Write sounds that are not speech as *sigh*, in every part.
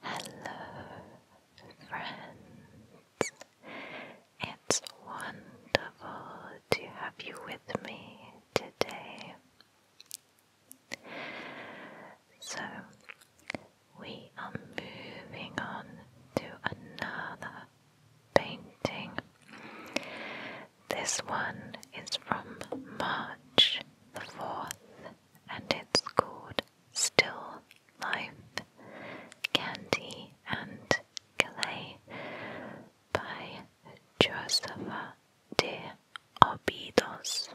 Hello, friends. It's wonderful to have you with me today. So, we are moving on to another painting. This one is from March the 4th and it's called Still Life, Candy and Calais by Josefa de Obidos.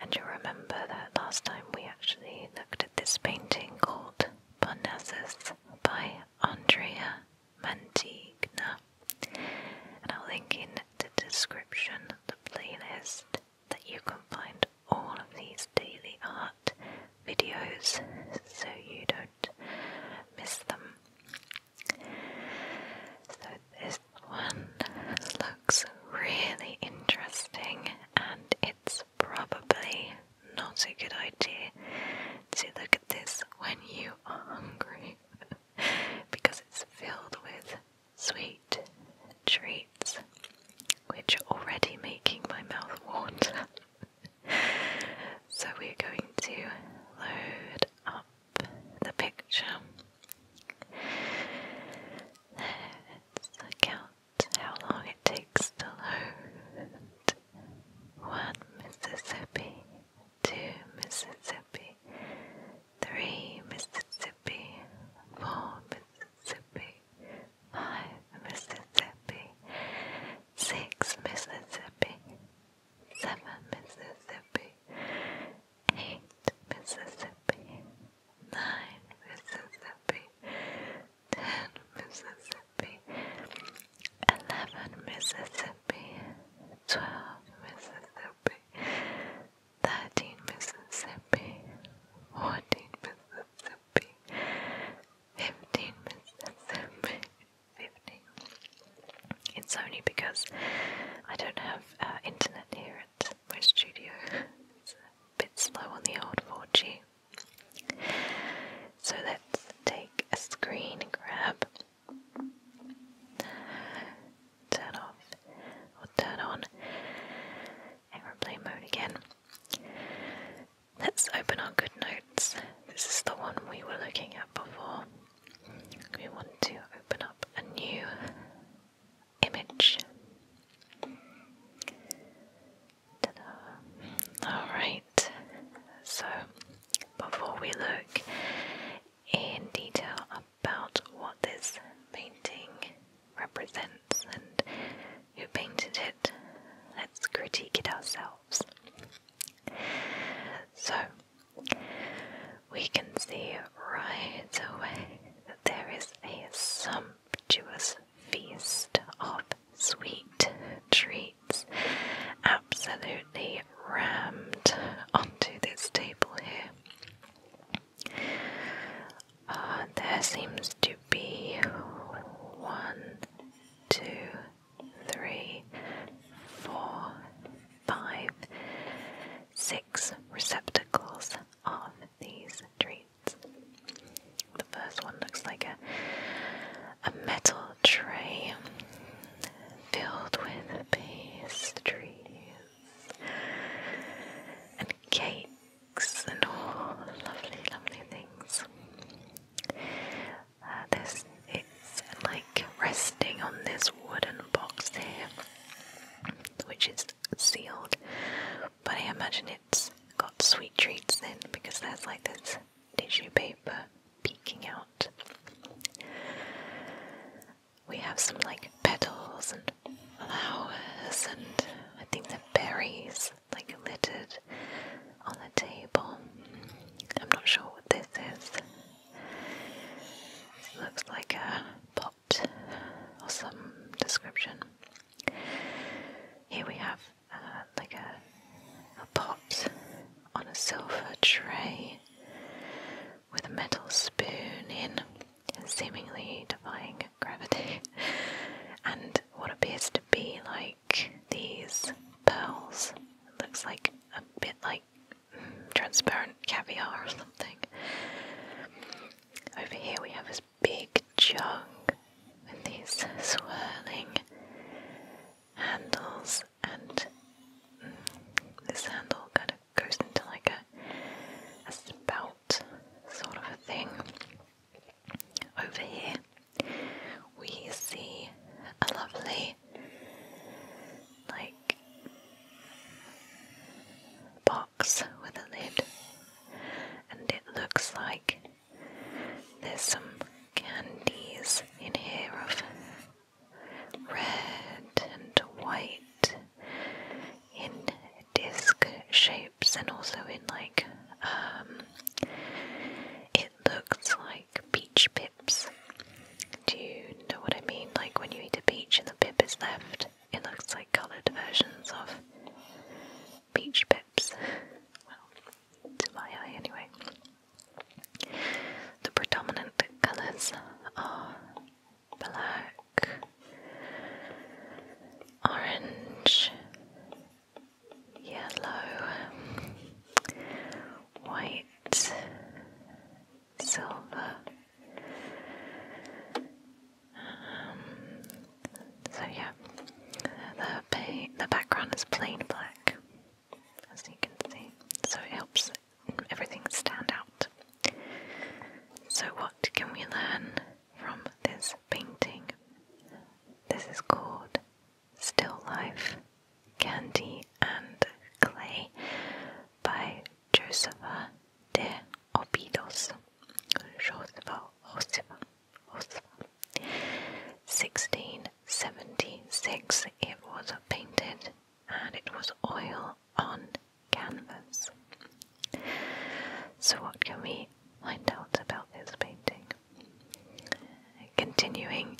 And you remember that last time we actually looked at this painting called Parnassus by Andrea Mantegna. And I'll link in the description the playlist that you can find all of these daily art videos so you don't miss them. So this one looks really interesting and it's probably not a good idea to look at this when you are hungry. *laughs* *laughs* because it's filled with sweet treats, which are already making my mouth water. *laughs* so we're going to load up the picture. let count how long it takes to load. One Mississippi, 2. Mississippi 3. Mississippi 4. Mississippi 5. Mississippi 6. Mississippi 7. Mississippi 8. Mississippi 9. Mississippi 10. Mississippi 11. Mississippi 12. Mississippi thirteen Mississippi, fourteen Mississippi, fifteen Mississippi, fifteen. It's only because I don't have uh, internet here at my studio. It's a bit slow on the old 4G. So let's take a screen grab Turn off or turn on airplane mode again. Let's open our good notes. This is the one we were looking at before. We want to open up a new image. Alright, so before we look in detail about what this painting represents and who painted it. Let's critique it ourselves. So, we can see right away that there is a sumptuous feast of sweet treats plates absolutely rammed onto this table here. Uh, there seems to be one, two, three, four, five, six receptacles of these treats. The first one looks like a a metal tray filled with pastries and cakes and all lovely, lovely things. Uh, this it's like resting on this wooden box here, which is sealed, but I imagine it's got sweet treats in because there's like this tissue paper peeking out. We have some like petals and flowers and I think the berries like littered on the table. I'm not sure what this is. It looks like a pot or some description. Here we have uh, like a, a pot on a silver tray with a metal spoon in, seemingly defying gravity, *laughs* and what appears to be like these pearls. looks like a bit like mm, transparent caviar or something. Over here we have this big jug with these swirling handles and mm, this handle kind of goes into like a, spout sort of a thing. Over here we see a lovely like box with a lid and it looks like there's some candies in here of red and white in disc shapes and also in like um, it looks like peach pips. Do you know what I mean? Like when you eat a peach and the pip is left, it looks like coloured versions of peach pips to my eye anyway. The predominant colours are black, orange, yellow, white, silver. Um, so yeah, the, the background is plain black as you can see, so it helps everything stand out. So, what can we learn from this painting? This is called Still Life Candy and Clay by Josefa de Obidos. Josefa Josefa. 1676 it was painted and it was oil on canvas. So, what can we find out about this painting? Continuing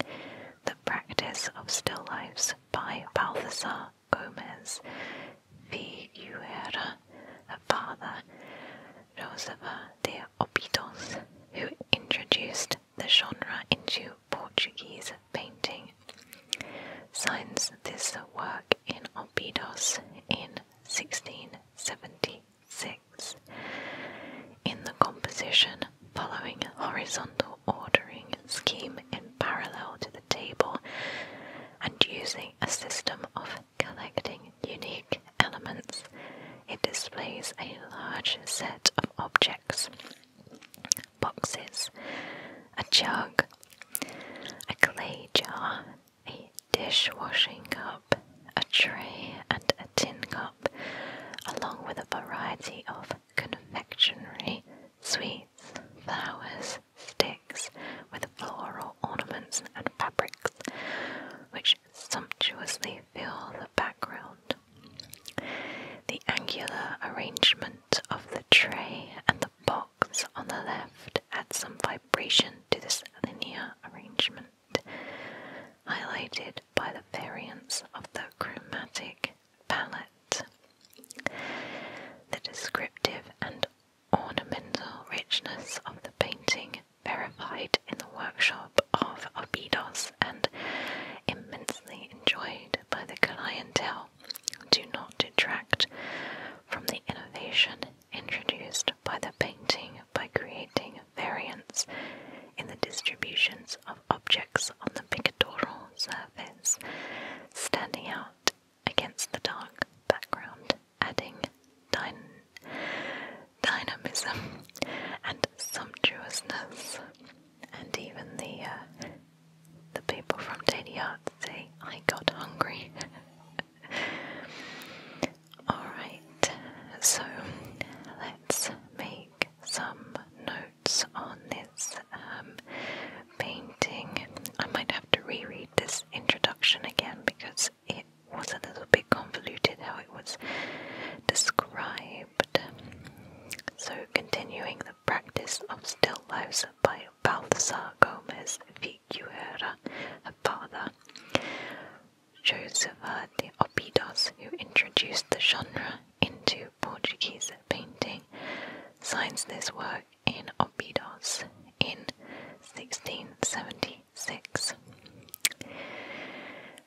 the practice of still lifes by Balthasar Gomez Figuera, a father Rosava de Obidos, who introduced the genre into Portuguese painting. Signs this work in Obidos in 1676. In the composition, following horizontal ordering scheme in parallel to the table and using a system of connecting unique elements, it displays a large set of objects boxes, a jug, a clay jar, a dishwashing cup, a tray, and a tin cup, along with a variety of confectionery, sweets, flowers, sticks with floral ornaments and fabrics, which sumptuously fill the background. The angular arrangement of the tray and the box on the left add some vibration to this linear arrangement, highlighted by the variants of the chromatic palette. The descriptive and ornamental richness of the painting verified in the workshop of Obidos and immensely enjoyed by the clientele, do not detract from the innovation introduced by the painting by creating variants in the distributions of objects on the pictorial surface, standing out against the dark background, adding dyn dynamism, and sumptuousness. And even the uh, the people from Tadiat say, "I got hungry." *laughs* All right, so let's make some notes on this um, painting. I might have to reread this introduction again because it was a little bit convoluted how it was described. So, continuing the practice of still lifes by Balthasar Gomez Figuera, her father, Josefa de Opidos, who introduced the genre into Portuguese painting, signs this work in Opidos in 1670 Six. I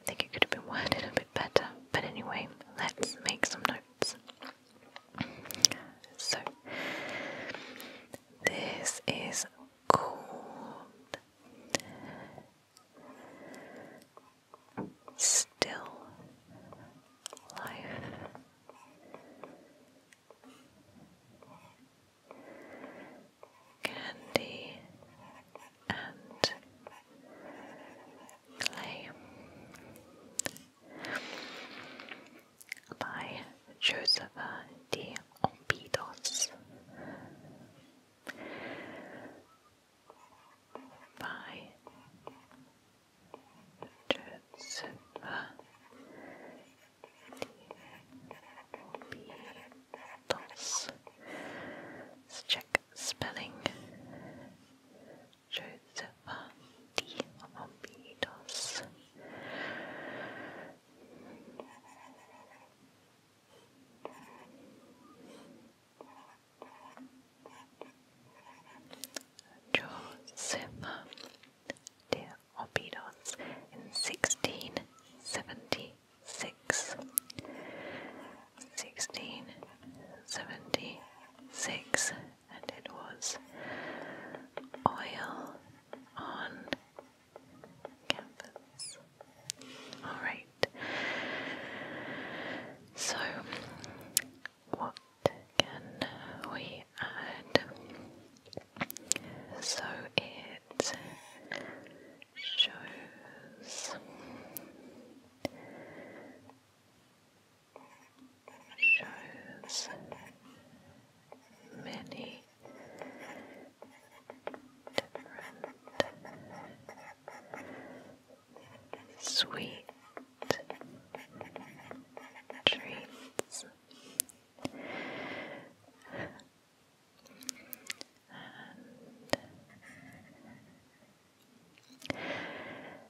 think it could have been worded a bit better, but anyway, let's make some notes. So, this is called Still Life candy and clay by Josepha de by Josepha Beatles. Let's check spelling. Josepha D. Beatles. Josepha, Horpedos in 1676. 1676, and it was oil on canvas. Alright, so what can we add? so it shows shows many different sweet treats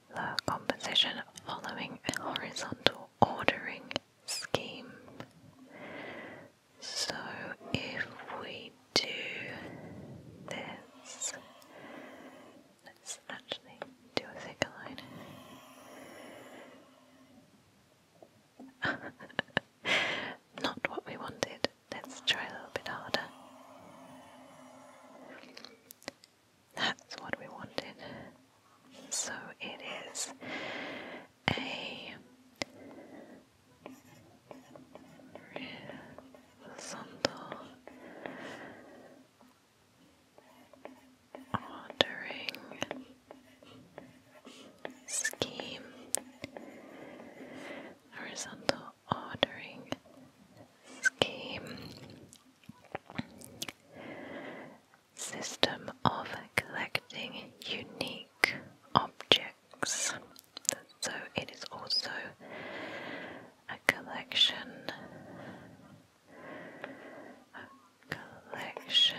the composition following a horizontal ordering scheme. So if we do this, let's actually do a thicker line. *laughs* Not what we wanted. Let's try a little bit harder. That's what we wanted. So it is a horizontal watering scheme, horizontal ordering scheme, system of collecting unique objects. So it is also a collection collection,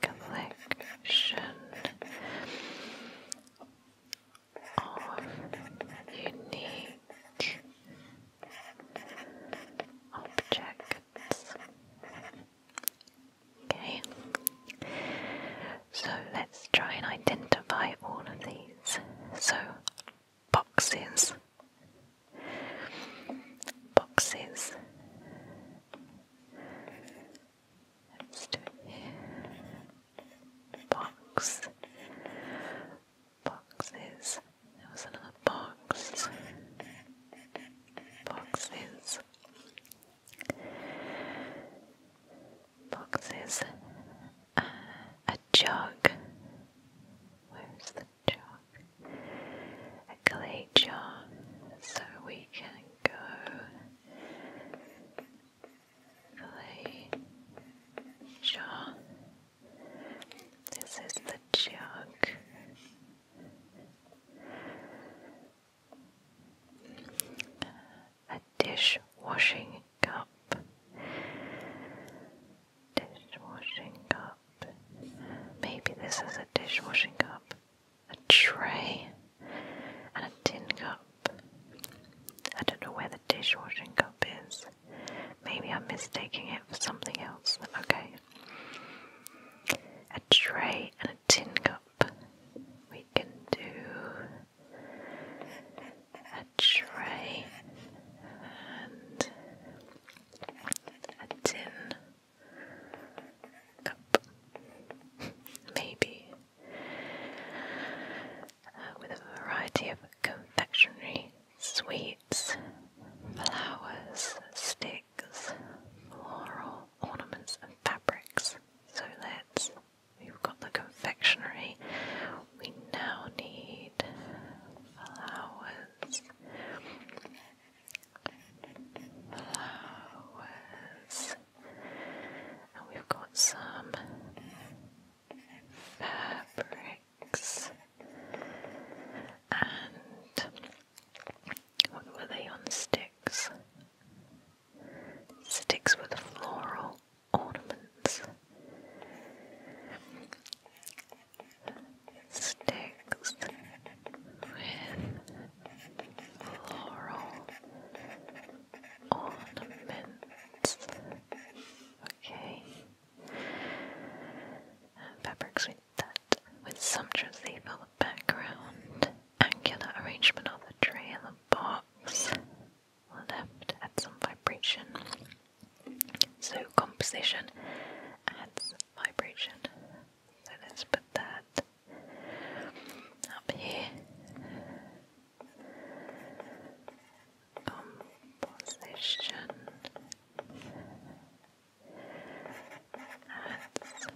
collection of unique objects. Okay, so let's try and identify all of these. So, boxes boxes. Let's do it Box. Boxes. There was another box. Boxes. Boxes. Uh, a jug. Where's the a clay jar, so we can go clay jar. This is the jug. A dish washing cup, Dishwashing cup. Maybe this is a dishwashing cup. A tray. And a tin cup. I don't know where the dishwashing cup is. Maybe I'm mistaking it for something else. Okay. A tray and a tin cup. We can do a tray and a tin cup, maybe, uh, with a variety of confectionery, sweets, flowers, sticks, floral ornaments, and fabrics. So let's. We've got the confectionery. We now need flowers flowers, and we've got some fabrics, and what were they on sticks? Sticks with floral ornaments sticks with floral ornaments. Okay. fabrics with that, with sumptuously for the background, angular arrangement of the tray and the box, left at some vibration. So composition adds vibration. So let's put that up here. Composition adds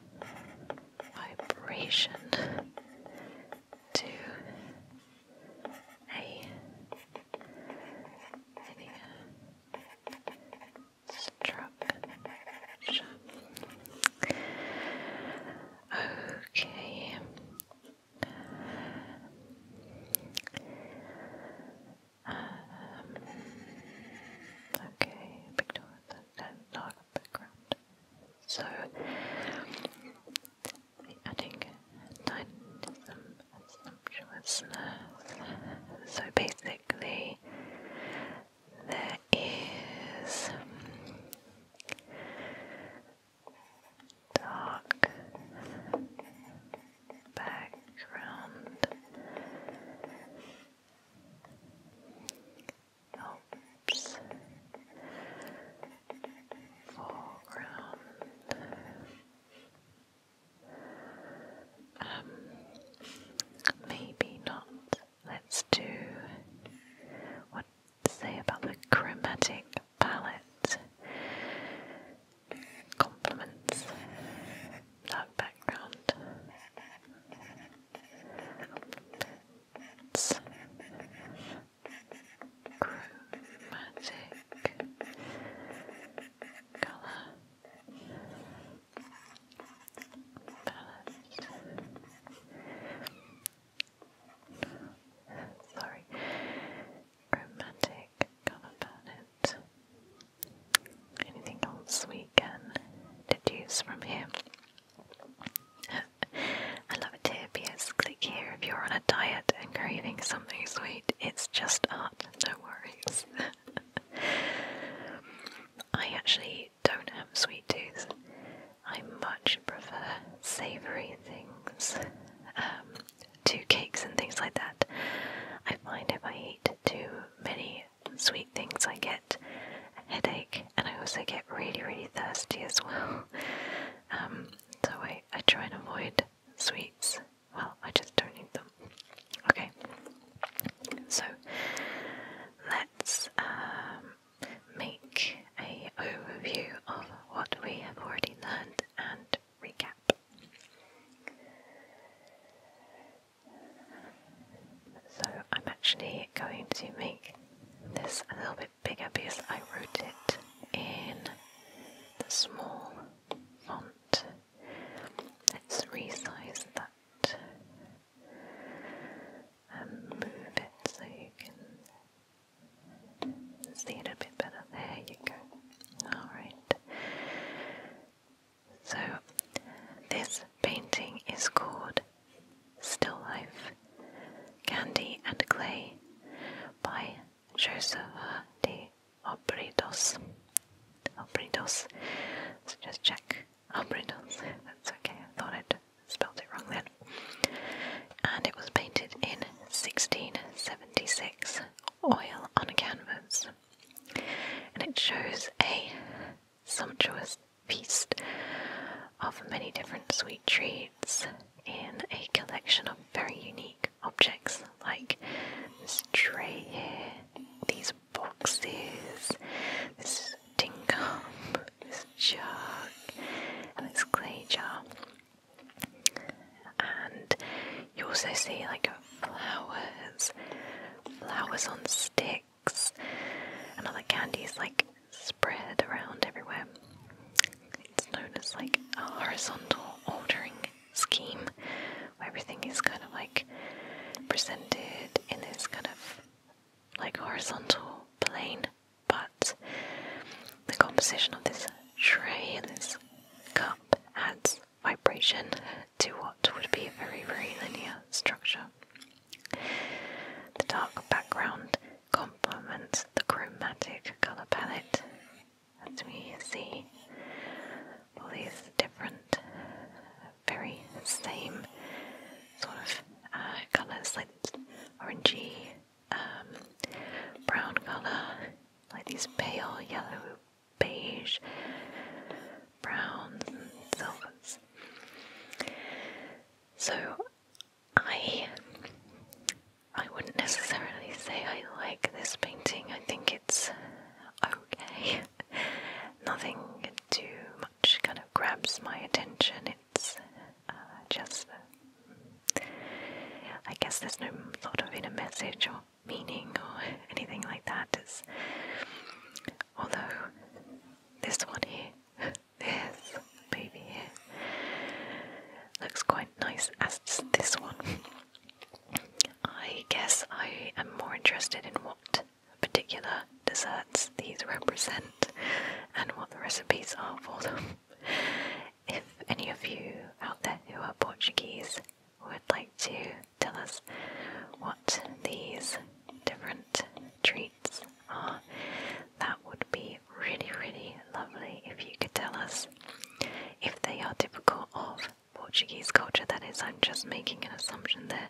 vibration to a maybe um, a Okay. okay, big that dark background. So adding hedonism and So basically, there is dark background. Helps foreground um, maybe not. Let's do what to say about the chromatic palette. Complements that background chromatic colour palette. Sorry, chromatic colour palette. Anything else we can deduce from here? *laughs* I love it here because click here if you're on a diet and craving something sweet it's just art, no worries. *laughs* I actually don't have sweet tooth. I much prefer savoury things um, to cakes and things like that. I find if I eat too many sweet things, I get a headache and I also get really, really thirsty as well. *laughs* Um, so I, I try and avoid sweets. Well, I just don't need them. Okay, so let's um, make a overview of what we have already learned and recap. So I'm actually going to make this a little bit bigger because I wrote it in the small font. Let's resize that and um, move it so you can see it a bit better. There you go. Alright. So, this painting is called Still Life Candy and Clay by Joseph the Obredos. Obredos. So just check. Obredos. That's okay. I thought I'd spelled it wrong then. And it was painted in 1676, oil on canvas. And it shows a sumptuous feast of many different sweet trees in a collection of very unique objects like this tray these boxes, this tin cup, this jug, and this clay jar. And you also see like flowers, flowers on sticks, and other candies like spread around everywhere. It's known as like a horizontal ordering scheme where everything is kind of like presented in this kind of like horizontal plane, but the composition of this tray and this cup adds vibration to what would be a very, very linear structure. The dark background complements the chromatic color palette as we see all these different, very same sort of uh, colors like orangey, um, brown color, like these pale yellow, beige, browns, and silvers. So I I wouldn't necessarily say I like this painting. I think it's okay. *laughs* Nothing too much kind of grabs my attention. It's uh, just, I guess there's no sort of inner message or meaning or anything like that. although this one here this baby here looks quite nice as this one. I guess I am more interested in what particular desserts these represent and what the recipes are for them. If any of you out there who are Portuguese would like to tell us what these different treats that would be really, really lovely if you could tell us if they are typical of Portuguese culture. That is, I'm just making an assumption there.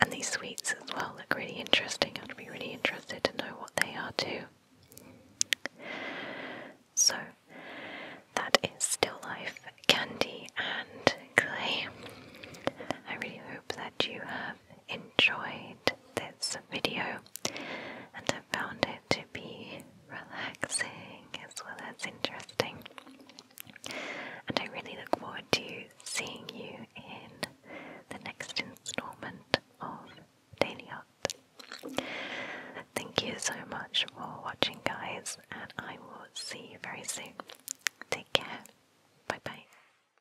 And these sweets as well look really interesting. I'd be really interested to know what they are too. So, that is Still Life Candy and Clay. I really hope that you have enjoyed this video and I found it to be relaxing as well as interesting. And I really look forward to seeing you in the next installment of Daily Art. Thank you so much for watching, guys, and I will see you very soon. Take care. Bye bye.